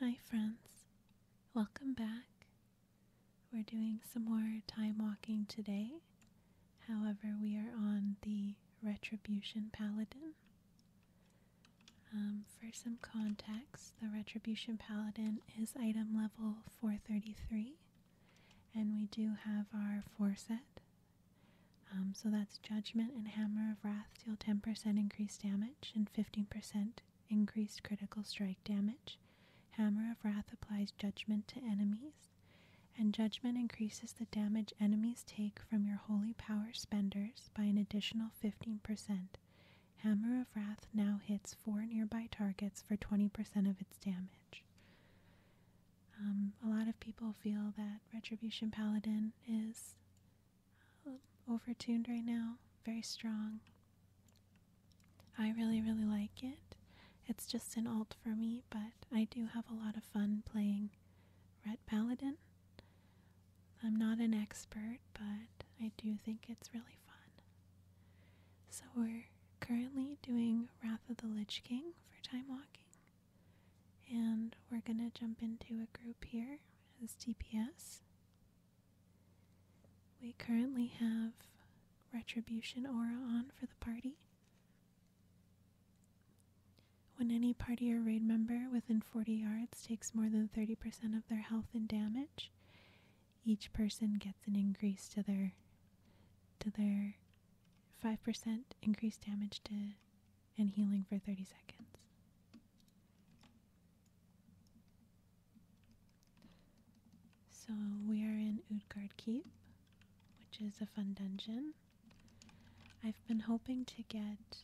Hi, friends. Welcome back. We're doing some more time walking today. However, we are on the Retribution Paladin. Um, for some context, the Retribution Paladin is item level 433 and we do have our foreset. Um, so that's Judgment and Hammer of Wrath deal 10% increased damage and 15% increased critical strike damage. Hammer of Wrath applies Judgment to enemies. And Judgment increases the damage enemies take from your Holy Power spenders by an additional 15%. Hammer of Wrath now hits four nearby targets for 20% of its damage. Um, a lot of people feel that Retribution Paladin is um, over tuned right now, very strong. I really, really like it. It's just an alt for me, but I do have a lot of fun playing Red Paladin. I'm not an expert, but I do think it's really fun. So we're currently doing Wrath of the Lich King for time walking. And we're going to jump into a group here as DPS. We currently have Retribution Aura on for the party. When any party or raid member within 40 yards takes more than 30% of their health in damage, each person gets an increase to their to their 5% increased damage to and healing for 30 seconds. So we are in Utgard Keep, which is a fun dungeon. I've been hoping to get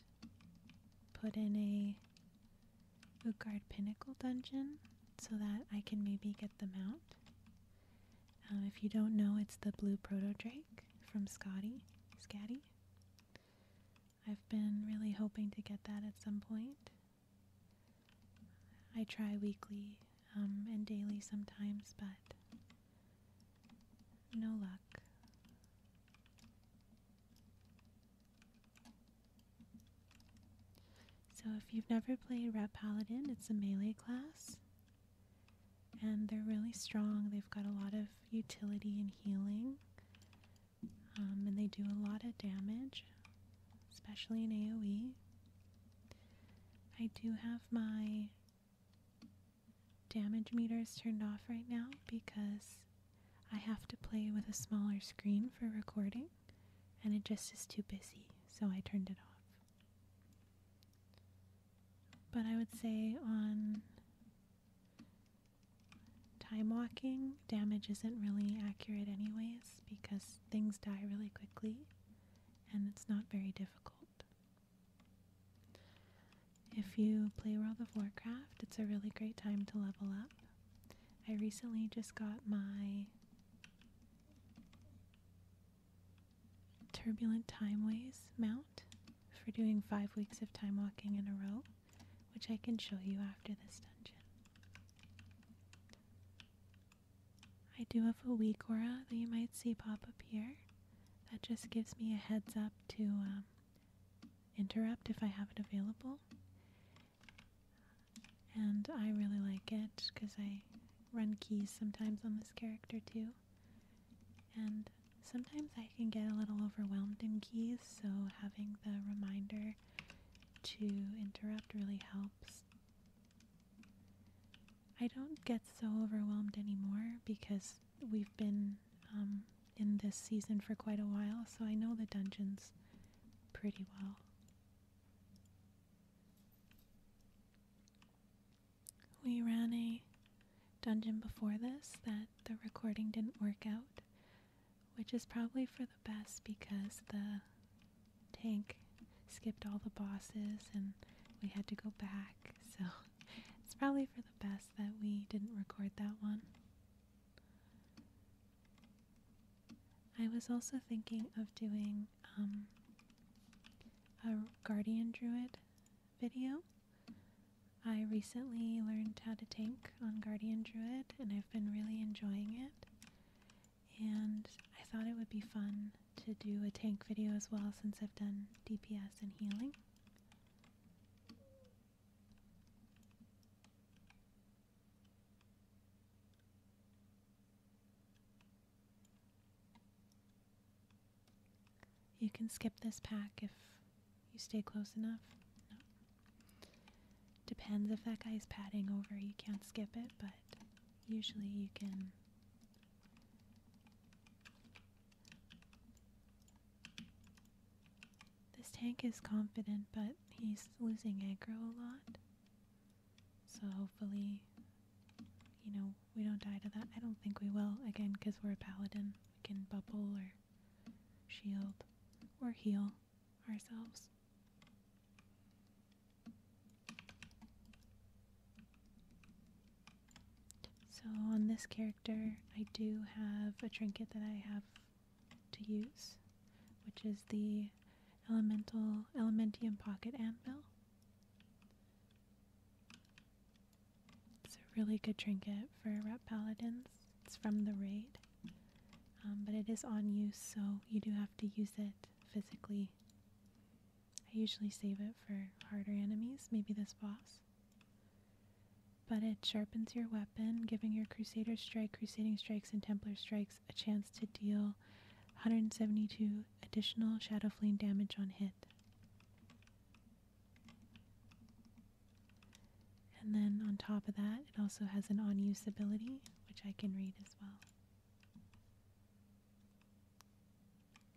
put in a Utgard Pinnacle dungeon so that I can maybe get the mount. Um, if you don't know, it's the blue proto drake from Scotty Scatty. I've been really hoping to get that at some point. I try weekly um, and daily sometimes, but no luck. So, if you've never played Red Paladin, it's a melee class and they're really strong. They've got a lot of utility and healing, um, and they do a lot of damage, especially in AoE. I do have my damage meters turned off right now because I have to play with a smaller screen for recording and it just is too busy, so I turned it off. But I would say on time walking, damage isn't really accurate, anyways, because things die really quickly and it's not very difficult. If you play World of Warcraft, it's a really great time to level up. I recently just got my Turbulent Timeways mount for doing five weeks of time walking in a row, which I can show you after this dungeon. I do have a weak aura that you might see pop up here. That just gives me a heads up to um, interrupt if I have it available. And I really like it because I run keys sometimes on this character too. And sometimes I can get a little overwhelmed in keys, so having the reminder to interrupt really helps. I don't get so overwhelmed anymore because we've been um, in this season for quite a while, so I know the dungeons pretty well. We ran a dungeon before this that the recording didn't work out, which is probably for the best because the tank skipped all the bosses and we had to go back. So it's probably for the best that we didn't record that one. I was also thinking of doing um, a guardian druid video. I recently learned how to tank on guardian druid and I've been really enjoying it. And I thought it would be fun to do a tank video as well since I've done DPS and healing. You can skip this pack if you stay close enough. Depends if that guy's padding over, you can't skip it, but usually you can. This tank is confident, but he's losing aggro a lot. So hopefully, you know, we don't die to that. I don't think we will, again, because we're a paladin. We can bubble or shield or heal ourselves. So on this character, I do have a trinket that I have to use, which is the Elemental Elementium Pocket Anvil. It's a really good trinket for Rat Paladins. It's from the raid, um, but it is on use, so you do have to use it physically. I usually save it for harder enemies, maybe this boss. But it sharpens your weapon, giving your Crusader Strike, Crusading Strikes, and Templar Strikes a chance to deal 172 additional shadow Shadowflame damage on hit. And then on top of that, it also has an on use ability, which I can read as well.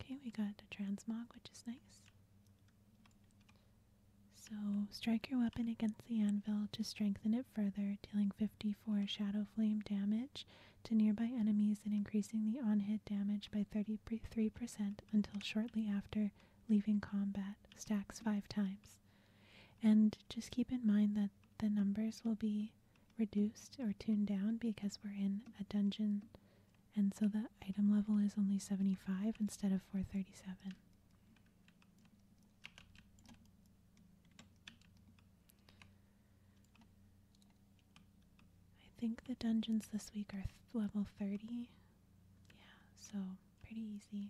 Okay, we got a transmog, which is nice. So, strike your weapon against the anvil to strengthen it further, dealing 54 shadow flame damage to nearby enemies and increasing the on hit damage by 33% until shortly after leaving combat, stacks five times. And just keep in mind that the numbers will be reduced or tuned down because we're in a dungeon, and so the item level is only 75 instead of 437. I think the dungeons this week are level 30. Yeah, so pretty easy.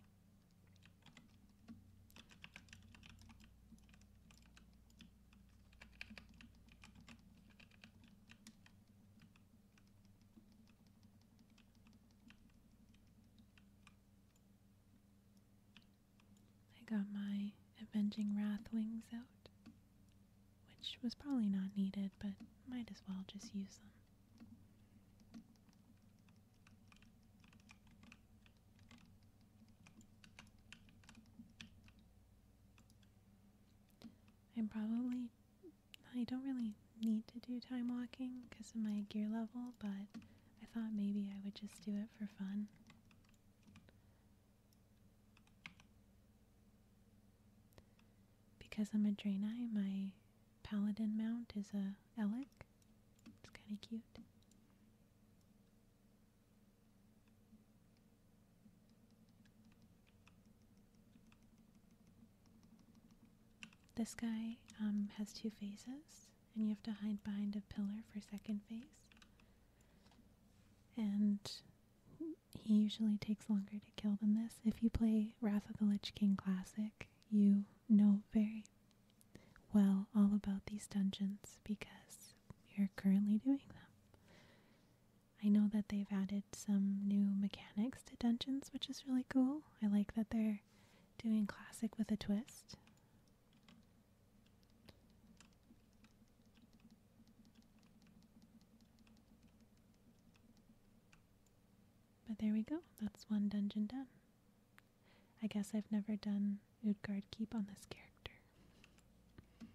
I got my Avenging Wrath wings out, which was probably not needed, but might as well just use them. I'm probably, I don't really need to do time walking because of my gear level, but I thought maybe I would just do it for fun. Because I'm a Draenei, my paladin mount is a Elec. It's kind of cute. This guy um, has two faces, and you have to hide behind a pillar for second face. And he usually takes longer to kill than this. If you play Wrath of the Lich King Classic, you know very well all about these dungeons because you're currently doing them. I know that they've added some new mechanics to dungeons, which is really cool. I like that they're doing classic with a twist. But there we go. That's one dungeon done. I guess I've never done Utgard Keep on this character. Okay.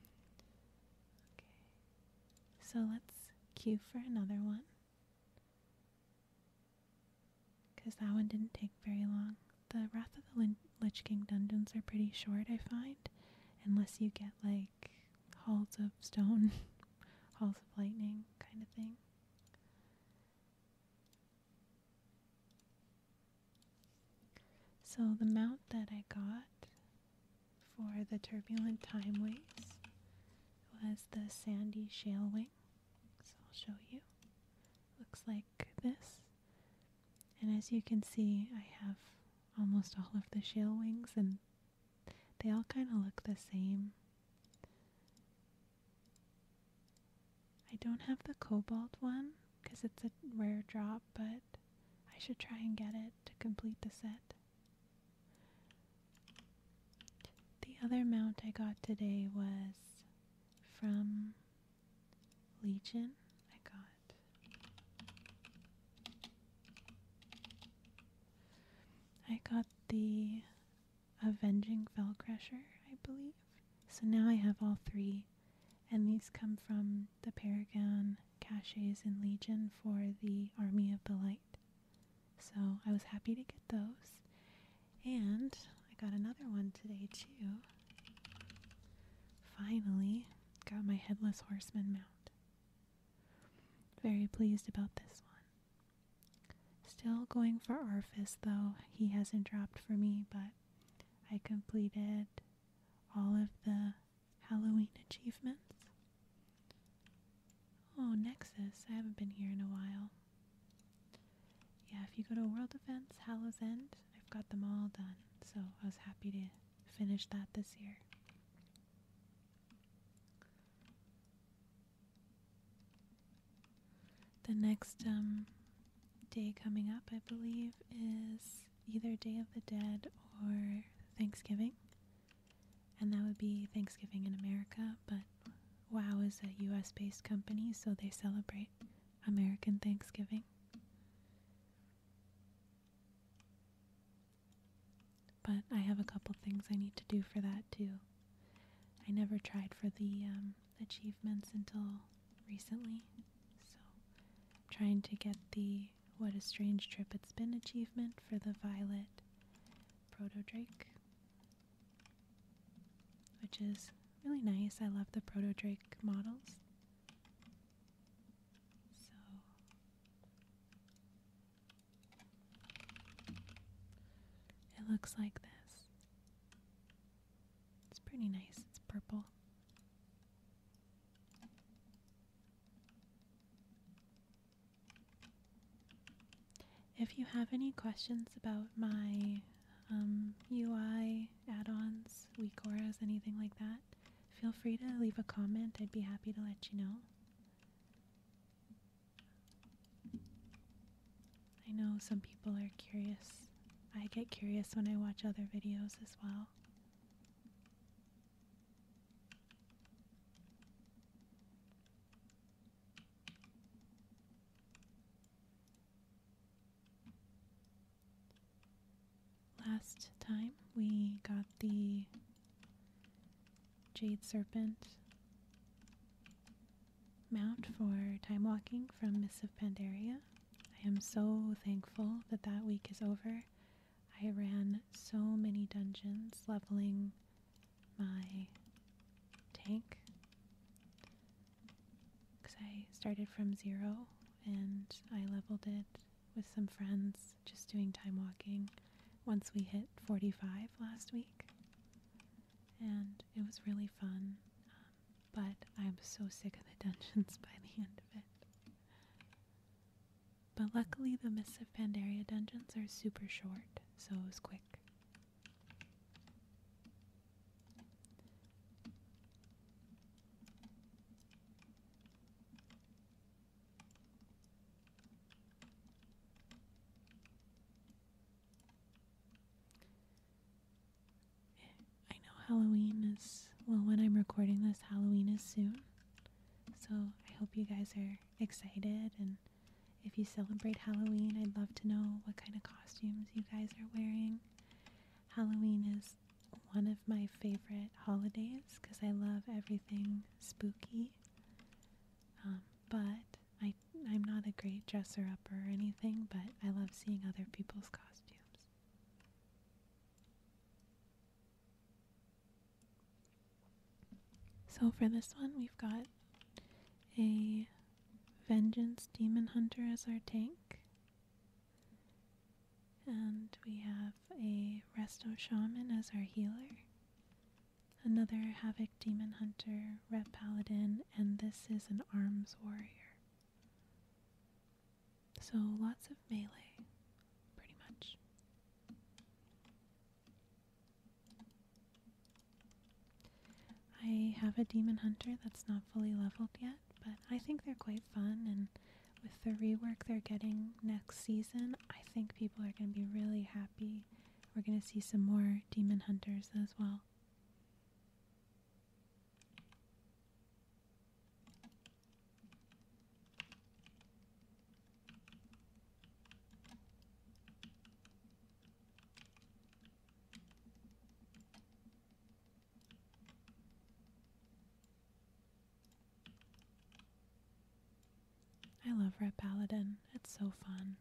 So let's cue for another one. Because that one didn't take very long the Wrath of the Lich King dungeons are pretty short, I find, unless you get like halls of stone, halls of lightning kind of thing. So the mount that I got for the turbulent timeways was the sandy shale wing. So I'll show you. Looks like this. And as you can see, I have almost all of the shale wings, and they all kind of look the same. I don't have the cobalt one because it's a rare drop, but I should try and get it to complete the set. The other mount I got today was from Legion, I got. I got the Avenging Fellcrusher, I believe. So now I have all three, and these come from the Paragon caches in Legion for the Army of the Light. So I was happy to get those. And I got another one today, too. Finally, got my headless horseman mount. Very pleased about this one. Still going for Arfis, though he hasn't dropped for me, but I completed all of the Halloween achievements. Oh, Nexus. I haven't been here in a while. Yeah, if you go to World Events, Hallows End, I've got them all done, so I was happy to finish that this year. The next um, day coming up, I believe, is either Day of the Dead or Thanksgiving. And that would be Thanksgiving in America, but WOW is a US based company, so they celebrate American Thanksgiving. But I have a couple things I need to do for that too. I never tried for the um, achievements until recently, so I'm trying to get the What a Strange Trip It's Been achievement for the Violet Proto Drake, which is really nice. I love the Proto Drake models. So it looks like this. It's pretty nice. It's purple. If you have any questions about my UI um, add-ons, WeCoras, anything like that, feel free to leave a comment. I'd be happy to let you know. I know some people are curious. I get curious when I watch other videos as well. Last time we got the Jade Serpent mount for time walking from Miss of Pandaria. I am so thankful that that week is over. I ran so many dungeons leveling my tank because I started from zero and I leveled it with some friends just doing time walking once we hit 45 last week. And it was really fun, but I'm so sick of the dungeons by the end of it. But luckily, the Missive Pandaria dungeons are super short, so it was quick. I know Halloween is, well, when I'm recording this, Halloween is soon. So I hope you guys are excited. And if you celebrate Halloween, I'd love to know what kind of costumes you guys are wearing. Halloween is one of my favorite holidays because I love everything spooky. Um, but I'm not a great dresser up or anything, but I love seeing other people's costumes. So for this one, we've got a Vengeance Demon Hunter as our tank. And we have a Resto Shaman as our healer. Another Havoc Demon Hunter, Red Paladin, and this is an Arms Warrior. So lots of melee, pretty much. I have a Demon Hunter that's not fully leveled yet, but I think they're quite fun. And with the rework they're getting next season, I think people are going to be really happy. We're going to see some more Demon Hunters as well. I love Red Paladin. It's so fun.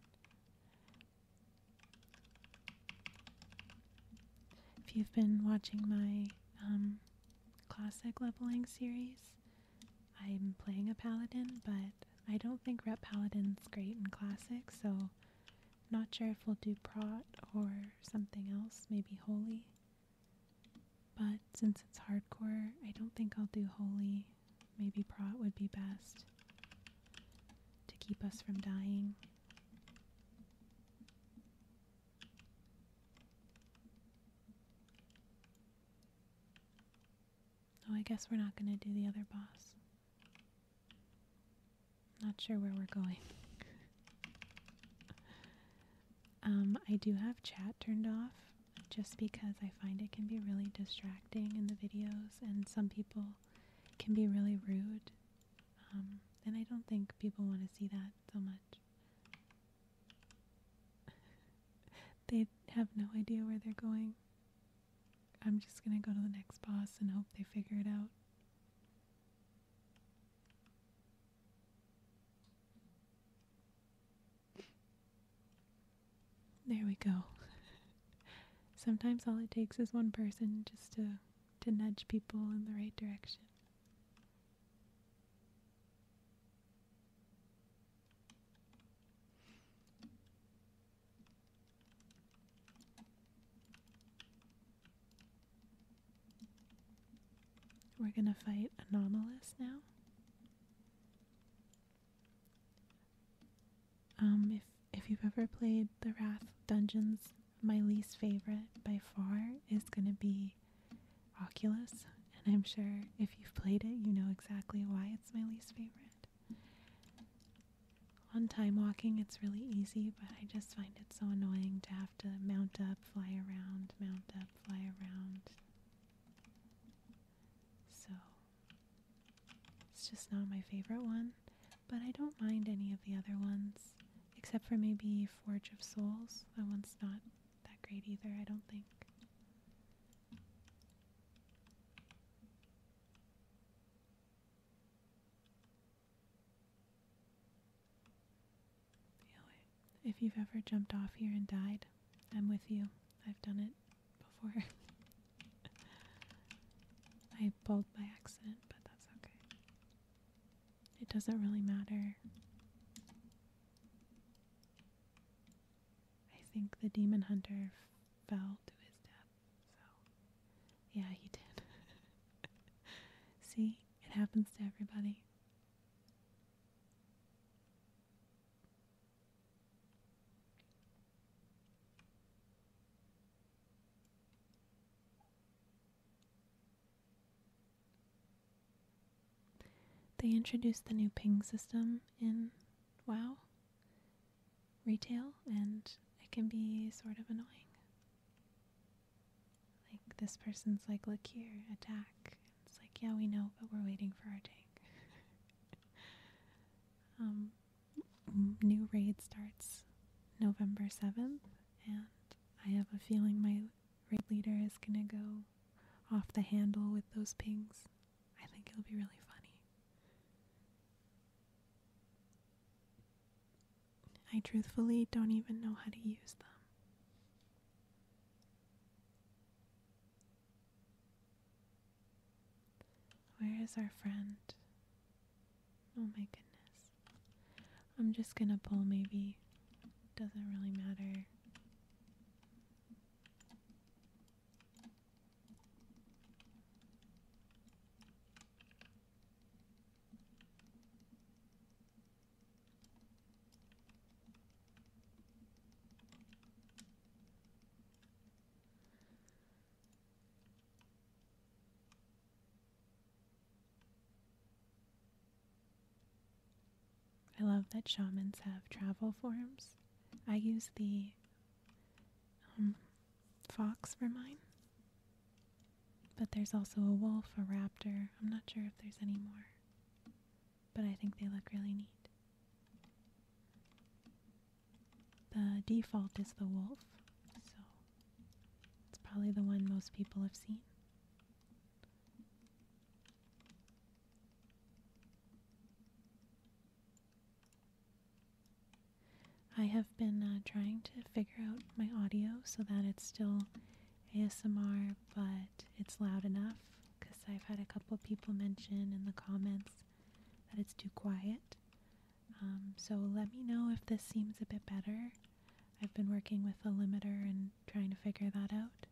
If you've been watching my um, classic leveling series, I'm playing a paladin, but I don't think Rep Paladin's great in classic, so not sure if we'll do prot or something else, maybe holy. But since it's hardcore, I don't think I'll do holy. Maybe prot would be best to keep us from dying. Oh, I guess we're not going to do the other boss. Not sure where we're going. Um, I do have chat turned off just because I find it can be really distracting in the videos, and some people can be really rude. Um, and I don't think people want to see that so much. they have no idea where they're going. I'm just gonna go to the next boss and hope they figure it out. There we go. Sometimes all it takes is one person just to to nudge people in the right direction. We're going to fight Anomalous now. Um, if if you've ever played the Wrath dungeons, my least favorite by far is going to be Oculus, and I'm sure if you've played it, you know exactly why it's my least favorite on time walking it's really easy, but I just find it so annoying to have to mount up, fly around, mount up, fly around. So it's just not my favorite one, but I don't mind any of the other ones, except for maybe Forge of Souls. That one's not that great either, I don't think if you've ever jumped off here and died, I'm with you. I've done it before. I bowled by accident, but that's okay. It doesn't really matter. I think the demon hunter fell to his death. So, yeah, he did. See, it happens to everybody. They introduced the new ping system in WoW retail and it can be sort of annoying. Like this person's like, look here, attack. It's like, yeah, we know, but we're waiting for our tank. um, new raid starts November 7th, and I have a feeling my raid leader is gonna go off the handle with those pings. I think it'll be really funny. I truthfully don't even know how to use them. Where is our friend? Oh my goodness. I'm just gonna pull, maybe. Doesn't really matter. I love that shamans have travel forms. I use the um, fox for mine. But there's also a wolf, a raptor. I'm not sure if there's any more. But I think they look really neat. The default is the wolf, so it's probably the one most people have seen. I have been uh, trying to figure out my audio so that it's still ASMR, but it's loud enough because I've had a couple people mention in the comments that it's too quiet. Um, so let me know if this seems a bit better. I've been working with a limiter and trying to figure that out.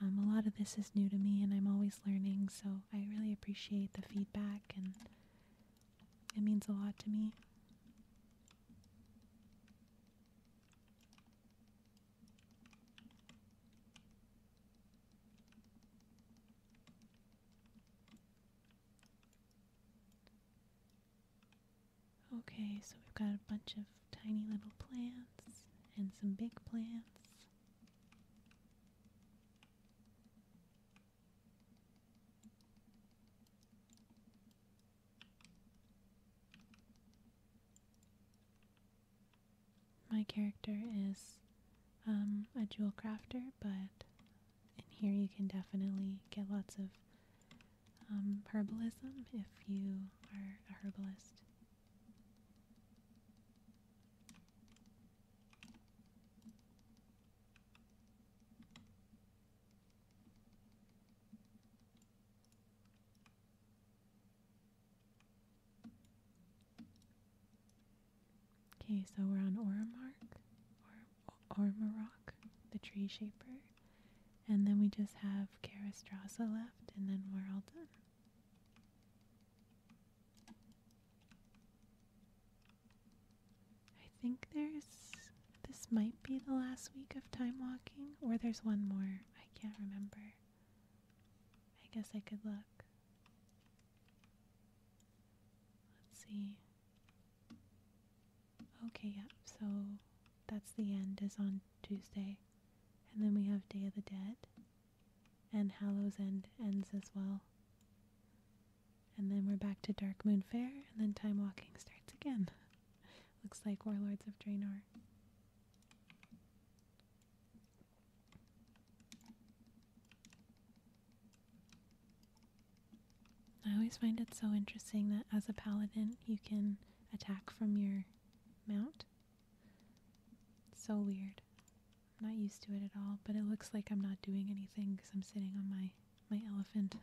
Um, a lot of this is new to me and I'm always learning, so I really appreciate the feedback and it means a lot to me. Okay, so we've got a bunch of tiny little plants and some big plants. My character is um, a jewel crafter, but in here you can definitely get lots of um, herbalism if you are a herbalist. Okay, so we're on Oramark, or the tree shaper, and then we just have Karastrasa left, and then we're all done. I think there's. This might be the last week of time walking, or there's one more. I can't remember. I guess I could look. Let's see. Okay, yeah, so that's the end, is on Tuesday. And then we have Day of the Dead. And Hallows End ends as well. And then we're back to Dark Moon Fair, and then time walking starts again. Looks like Warlords of Draenor. I always find it so interesting that as a paladin you can attack from your mount. so weird. I'm not used to it at all, but it looks like I'm not doing anything because I'm sitting on my my elephant.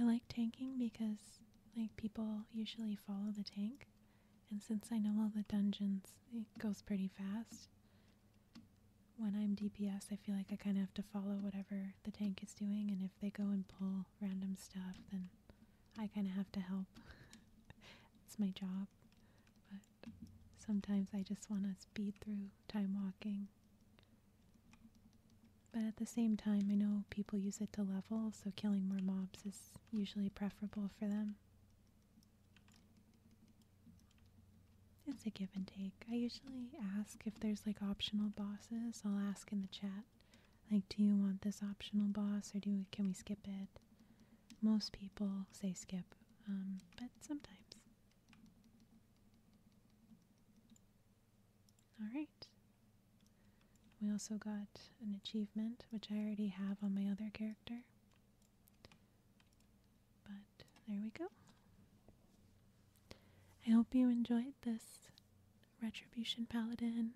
I like tanking because like people usually follow the tank and since I know all the dungeons it goes pretty fast. When I'm DPS I feel like I kind of have to follow whatever the tank is doing, and if they go and pull random stuff, then I kind of have to help. it's my job. But sometimes I just want to speed through time walking. But at the same time, I know people use it to level, so killing more mobs is usually preferable for them. It's a give and take. I usually ask if there's like optional bosses. I'll ask in the chat like, do you want this optional boss or do can we skip it? Most people say skip, um, but sometimes. Alright. We also got an achievement, which I already have on my other character. But there we go. I hope you enjoyed this Retribution Paladin,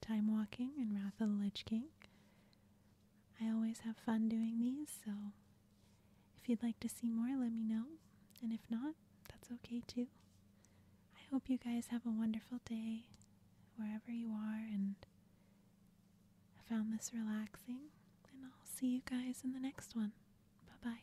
Time Walking, and Wrath of the Lich King. I always have fun doing these, so if you'd like to see more, let me know. And if not, that's okay too. I hope you guys have a wonderful day wherever you are and I found this relaxing. And I'll see you guys in the next one. Bye bye.